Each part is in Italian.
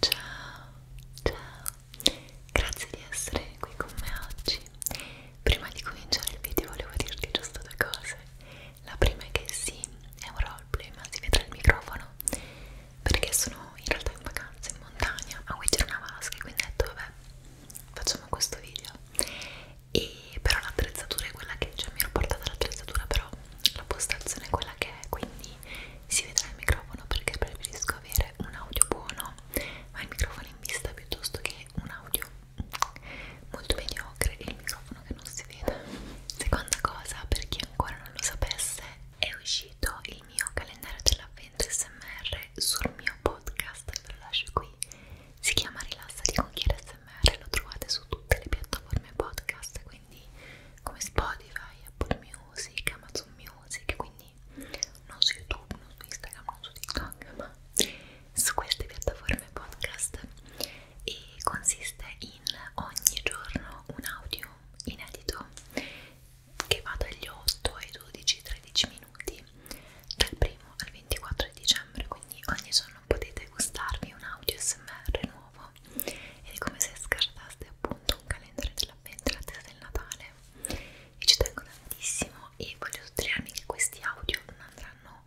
Ciao, ciao, grazie di essere qui con me oggi. Prima di cominciare il video volevo dirti giusto due cose. La prima è che sì, è un roleplay, ma si vedrà il microfono perché sono in realtà in vacanza in montagna a guidare una vasca, quindi ho detto vabbè facciamo questo video e però l'attrezzatura è quella che cioè mi ero portata l'attrezzatura però la postazione è quella che è quindi si vedrà il microfono perché preferisco avere un audio buono ma il microfono in vista piuttosto che un audio molto mediocre e il microfono che non si vede seconda cosa per chi ancora non lo sapesse è uscito il mio calendario dell'avvento smr sul mio mio podcast ve lo lascio qui si chiama Rilassati con Chiara SMR lo trovate su tutte le piattaforme podcast quindi come Spotify, Apple Music, Amazon Music quindi non su YouTube, non su Instagram, non su TikTok ma su queste piattaforme podcast e consiste in ogni giorno un audio inedito che va dagli 8 ai 12-13 minuti dal 1 al 24 di dicembre quindi ogni giorno potete gustarvi un audio smr nuovo ed è come se scartaste appunto un calendario dell'avvento la testa del Natale e ci tengo tantissimo e voglio sottolinearmi che questi audio non andranno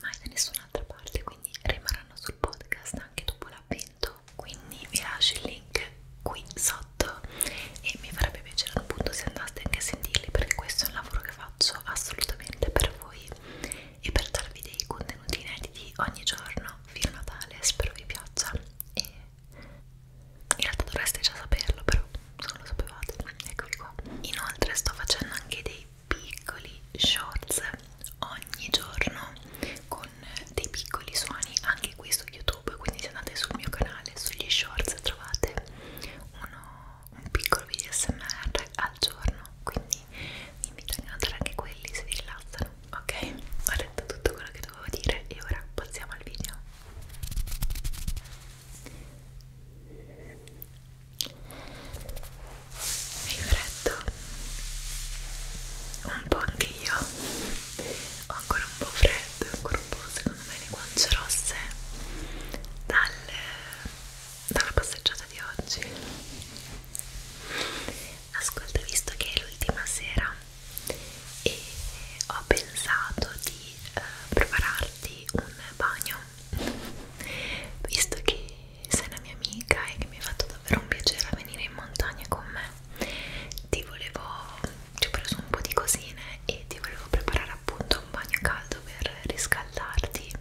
mai da nessun'altra parte quindi rimarranno sul podcast anche dopo l'avvento quindi vi lascio il link qui sotto fatto e mi farebbe piacere appunto se andaste anche a sentirli perché questo è un lavoro che faccio assolutamente per voi e per darvi dei contenuti inediti ogni giorno fino a Natale spero vi piaccia e in realtà dovreste già saperlo però se non lo sapevate eccoli qua inoltre sto facendo anche dei piccoli shorts ogni giorno con dei piccoli suoni anche anche qui su YouTube, quindi se andate sul mio canale, sugli shorts trovate uno, un piccolo video smr al giorno, quindi vi invito a guardare anche quelli se vi rilassano. Ok, ho detto tutto quello che dovevo dire e ora passiamo al video. Mi freddo un po' anche io ho ancora un po' freddo sarebbe ancora un po' secondo me le guance rosse dal, dalla passeggiata di oggi ascolta visto che è l'ultima sera e ho pensato di eh, prepararti un bagno visto che sei una mia amica e che mi ha fatto davvero un piacere venire in montagna con me ti volevo ci ho preso un po' di cosine e ti volevo preparare appunto un bagno caldo per riscaldarti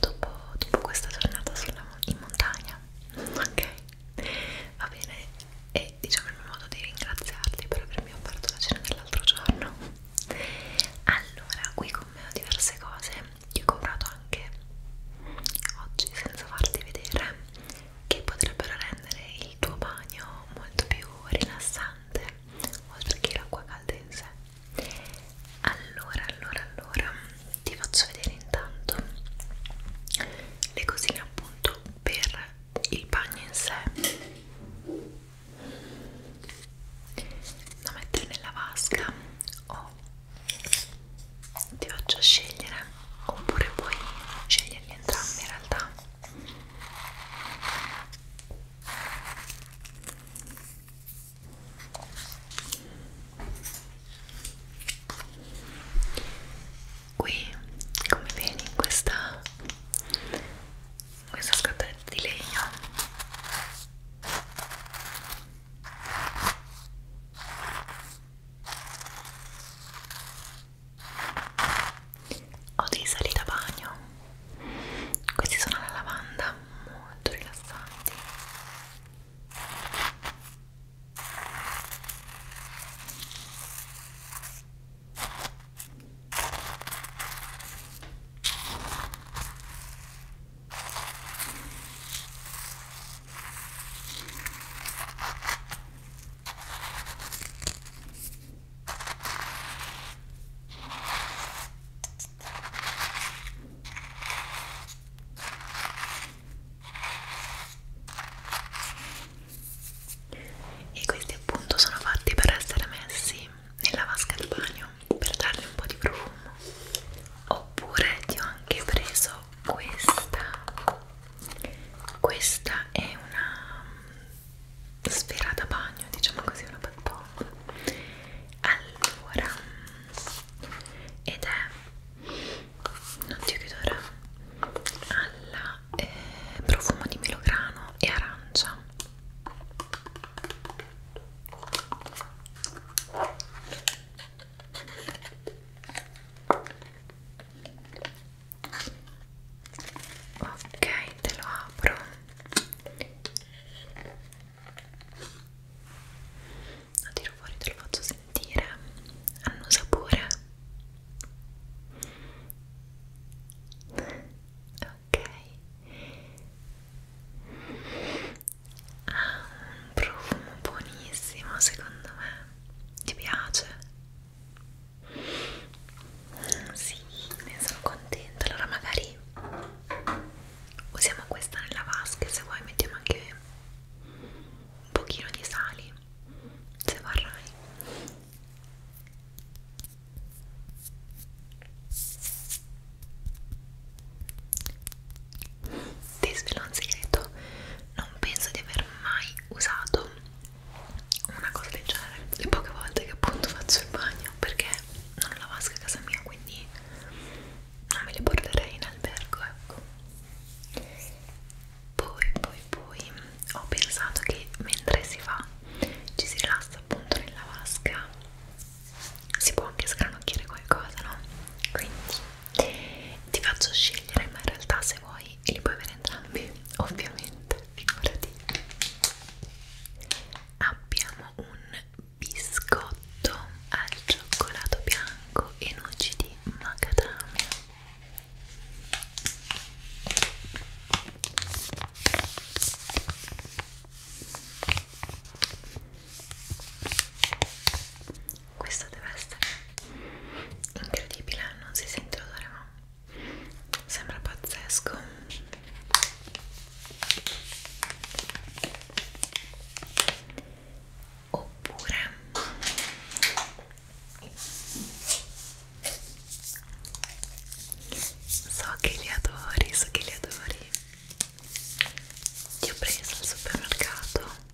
dopo, dopo questa giornata sulla, in montagna ok? va bene e diciamo il mio modo di ringraziarti per avermi offerto la cena dell'altro giorno allora qui con me ho diverse cose io ho comprato anche oggi senza farti vedere che potrebbero rendere il tuo bagno molto più rilassante oltre che l'acqua calda in sé allora allora allora ti faccio vedere intanto le cosine appunto per il bagno in sé da mettere nella vasca o ti faccio scegliere oppure puoi sceglierli entrambi in realtà qui come vedi in questa in questa scatoletta di legno ho dei sali da bagno questi sono alla lavanda molto rilassanti e questi appunto sono fatti per essere messi nella vasca da bagno per dargli un po' di profumo oppure ti ho anche preso questa questa è una sfera da bagno diciamo così una battaglia allora ed è non ti chiuderà alla eh, profumo di melograno e arancia ok te lo apro lo tiro fuori te lo faccio sentire hanno sapore ok ha ah, un profumo buonissimo secondo me ti piace? Sì, ne sono contenta. Allora magari usiamo questa nella vasca e se vuoi mettiamo anche un pochino di sali, se vorrai. Ti svelo un segreto, non penso di aver mai usato una cosa del genere le poche volte che appunto faccio il bagno perché non ho la vasca a casa mia quindi non me le porterei in albergo ecco poi poi poi ho pensato che mentre si fa ci si rilassa appunto nella vasca si può anche sgranocchiare qualcosa no quindi ti faccio scegliere ma in realtà se vuoi li puoi avere entrambi ovviamente figurati abbiamo un biscotto al cioccolato bianco e noci di macadamia questo deve essere incredibile non si sente l'odore ma sembra pazzesco oppure so che li adori so che li adori ti ho preso al supermercato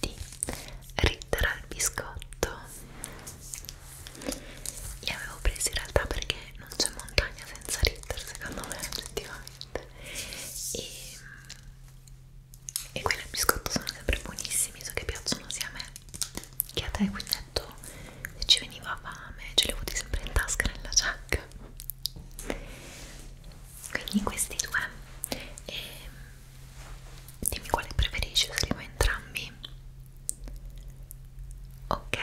di Ritter al biscotto li avevo presi in realtà perché non c'è montagna senza Ritter secondo me oggettivamente e, e quelli al biscotto sono sempre buonissimi so che piacciono sia a me che a te quindi detto se ci veniva fame ce li ho avuti sempre in tasca nella giacca quindi questi due e dimmi quale preferisci, useremo entrambi ok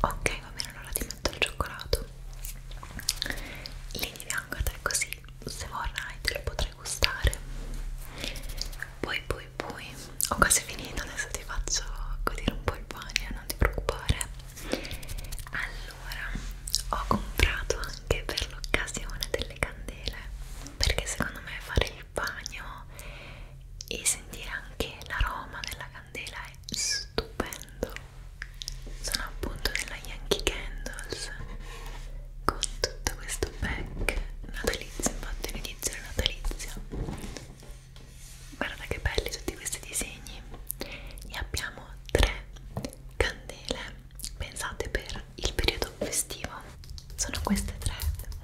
ok va bene allora ti metto il cioccolato lì di fianco a te così se vorrai te lo potrai gustare poi poi poi ho quasi finito adesso ti faccio godere un po' il bagno non ti preoccupare allora ho comprato anche per l'occasione delle candele perché secondo me fare il bagno e sentire anche l'aroma della candela è stupendo sono appunto nella Yankee Candles con tutto questo pack natalizio infatti inizio il natalizio guarda che belli tutti questi disegni e abbiamo tre candele pensate per il periodo festivo sono queste tre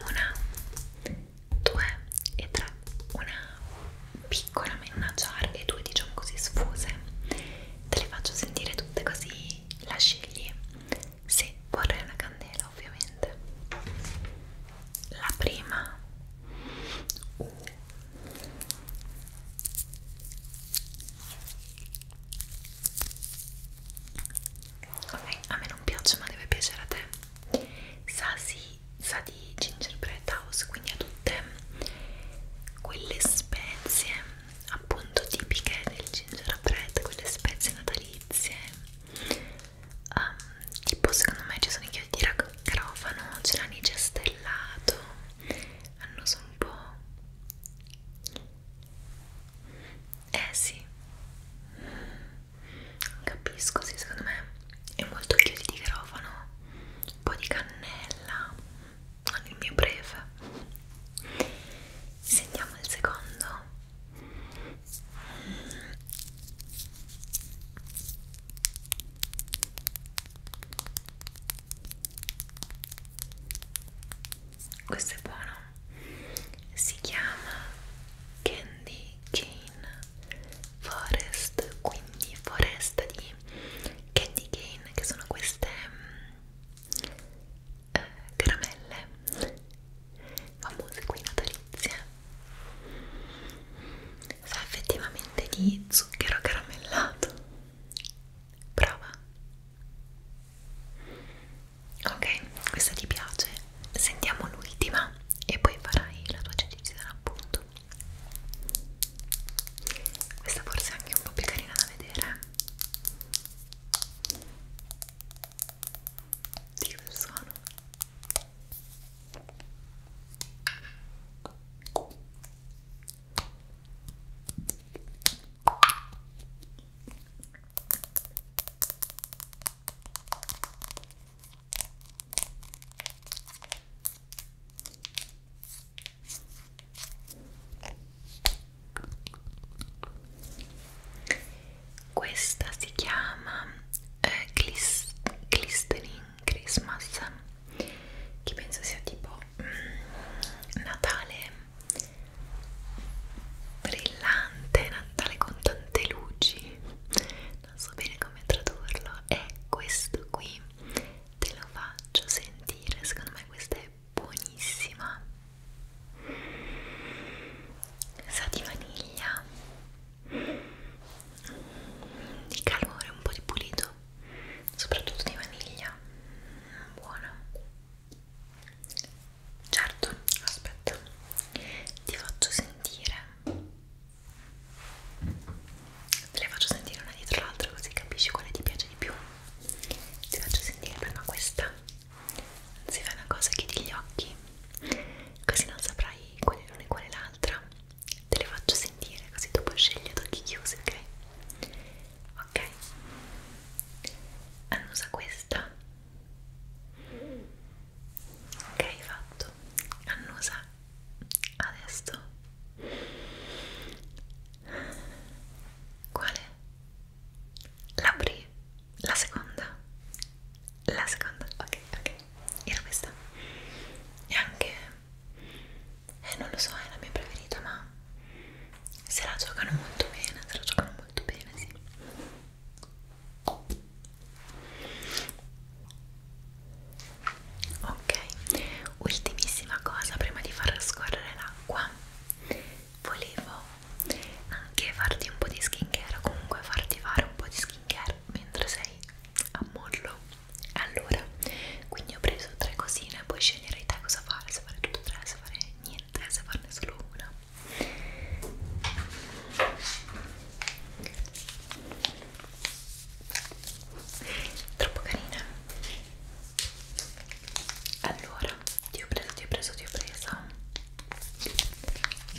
una due e tre una piccola in una jar e due diciamo così sfuse te le faccio sentire tutte così la scegli se vorrei una candela ovviamente la prima uh ok a me non piace ma deve piacere a te sa, sì, sa di gingerbread house quindi ha tutte quelle spezie appunto tipiche del gingerbread quelle spezie natalizie um, tipo secondo me ci sono i chiodi di raccarofano c'è l'anice stellato hanno un po' Eh sì, capisco, sì, secondo me è molto chiodi di garofano, un po' di cannella, non il mio breve. Sentiamo il secondo questo è buono si chiama Candy Cane Forest quindi foresta di candy cane che sono queste mm, eh, caramelle famose qui natalizie sa effettivamente di zucchero caramellato Prova. Ok, questa ti piace? Sentiamo l'ultima e poi farai la tua decisione appunto. Questa forse è anche un po' più carina da vedere. Di quel suono. Questa si chiama eh, Glistening Christmas, che penso sia tipo Natale brillante, Natale con tante luci, non so bene come tradurlo, e questo qui te lo faccio sentire, secondo me questa è buonissima. Sa di vaniglia, di calore, un po' di pulito soprattutto di vaniglia buona certo aspetta ti faccio sentire te le faccio sentire una dietro l'altra così capisci quale ti piace di più ti faccio sentire prima questa se fai una cosa chiudi gli occhi così non saprai quale l'una e quale l'altra te le faccio sentire così tu puoi scegliere ad occhi chiusi, ok? Ok, annusa questa. Ok, fatto. Annusa adesso. Quale? La prima, la seconda, la seconda. Ok, ok. Era questa. E anche eh non lo so è la mia preferita ma se la giocano molto bene se la giocano molto bene sì ok ultimissima cosa prima di far scorrere l'acqua volevo anche farti un po' di skincare o comunque farti fare un po' di skincare mentre sei a mollo allora quindi ho preso tre cosine puoi scegliere te cosa fare se fare tutte e tre se fare niente se farne solo una troppo carina allora ti ho preso ti ho preso ti ho preso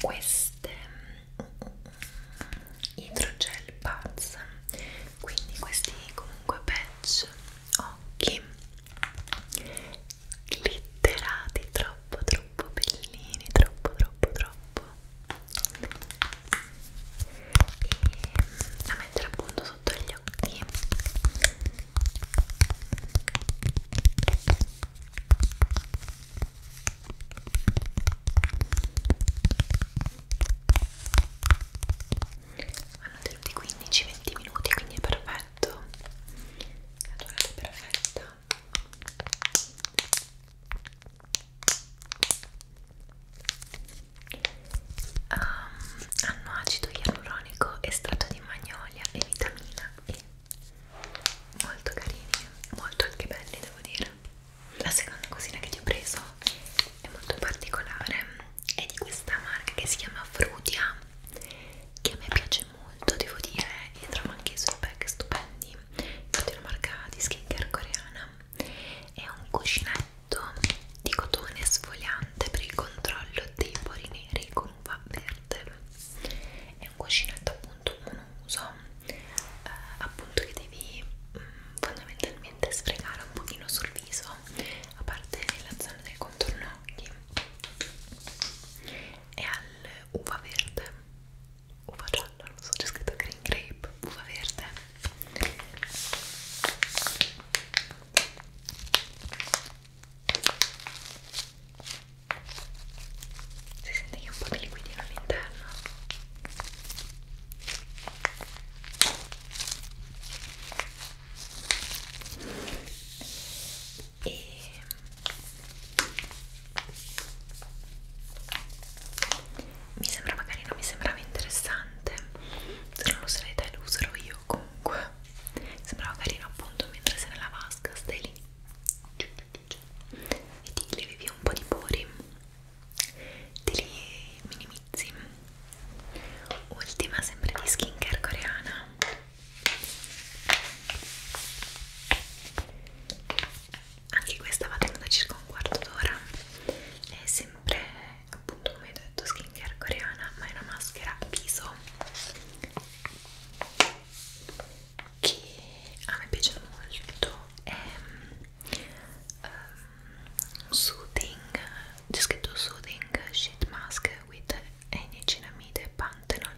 queste idrogel pazza quindi questi comunque patch occhi glitterati troppo troppo bellini troppo troppo troppo e da mettere appunto sotto gli occhi hanno tenuti 15-20 minuti quindi è perfetto la durata è perfetta um, hanno acido ialuronico estratto di magnolia e vitamina E molto carini molto anche belli devo dire la seconda cosina che ti ho preso è molto particolare è di questa marca che si chiama Frutia che a me piace molto devo dire e trovo anche i suoi pack stupendi infatti è una marca di skincare coreana è un cuscinetto di cotone sfogliante per il controllo dei pori neri con uva verde è un cuscinetto appunto monouso eh, appunto che devi mh, mm, fondamentalmente leggermente sfregare un pochino sul viso a parte nella zona del contorno occhi e all'uva verde uva gialla, non so, c'è scritto green grape uva verde si sente che un po' di liquidino all'interno e mi sembrava carino, mi sembrava interessante se non lo sarei te lo userò io comunque sembrava carino appunto mentre sei nella vasca stai lì e ti levi via un po' di pori te li minimizzi ultima sempre di skincare coreana anche questa va tenuta circa un quarto d'ora è sempre appunto come ho detto skincare coreana ma è una maschera viso che a me piace molto è um, Soothing, c'è scritto Soothing Sheet Mask with Enicinamide, Pantenol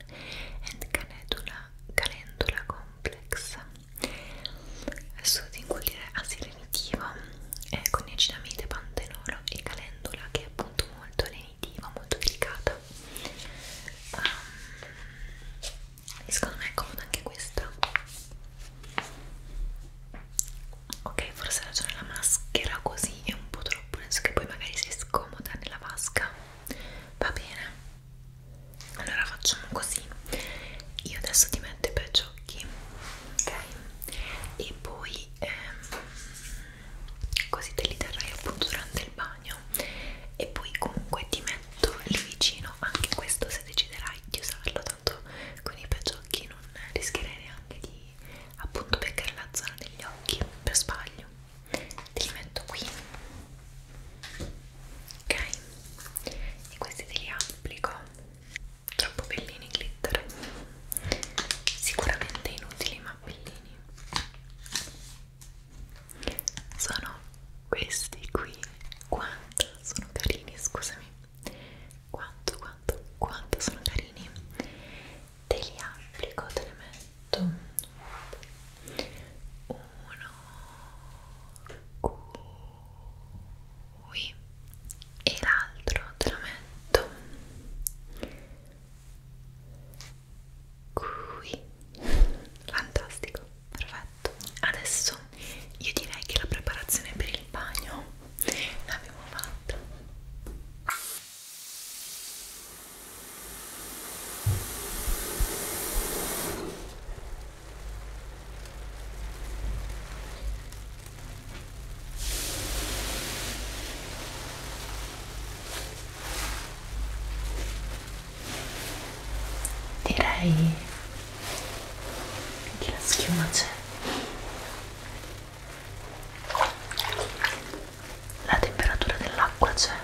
and Calendula, calendula Complex Soothing vuol dire asilenitivo eh, con Enicinamide, Pantenolo e Calendula che è appunto molto lenitivo, molto delicata um, ehm, e secondo me è comoda anche questa ok forse ha ragione la maschera così è un po' troppo penso che poi magari sei scomoda nella vasca va bene allora facciamo così io adesso ti metto i peggiocchi ok e poi ehm, così te li terrai appunto durante il bagno e poi comunque ti metto lì vicino anche questo se deciderai sai di usarlo tanto con i peggiocchi non rischierei neanche di appunto peccare la zona degli occhi per sbaglio te li metto qui ok e questi te li applico troppo bellini glitter sicuramente inutili ma bellini sono questi qui quando sono carini, scusami quanto, quanto, quanto sono carini te li applico, te ne metto uno qui e l'altro te lo metto qui fantastico perfetto adesso io direi che la preparazione per il bagno l'abbiamo fatta direi che la schiuma c'è la temperatura dell'acqua c'è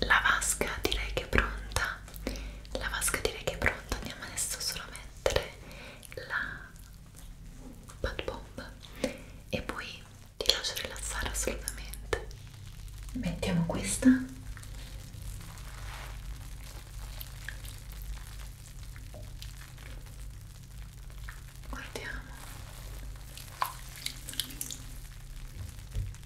la vasca direi che è pronta la vasca direi che è pronta andiamo adesso solo a mettere la bad bomb e poi ti lascio rilassare assolutamente mettiamo questa guardiamo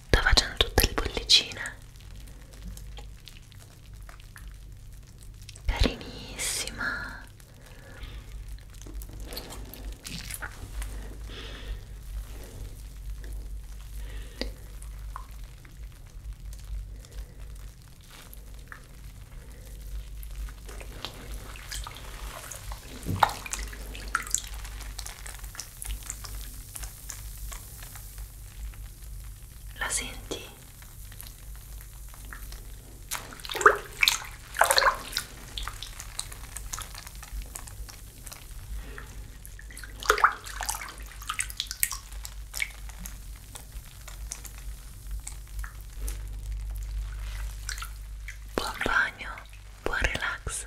Sto facendo tutte le bollicine carinissima la senti? Buon bagno, buon relax.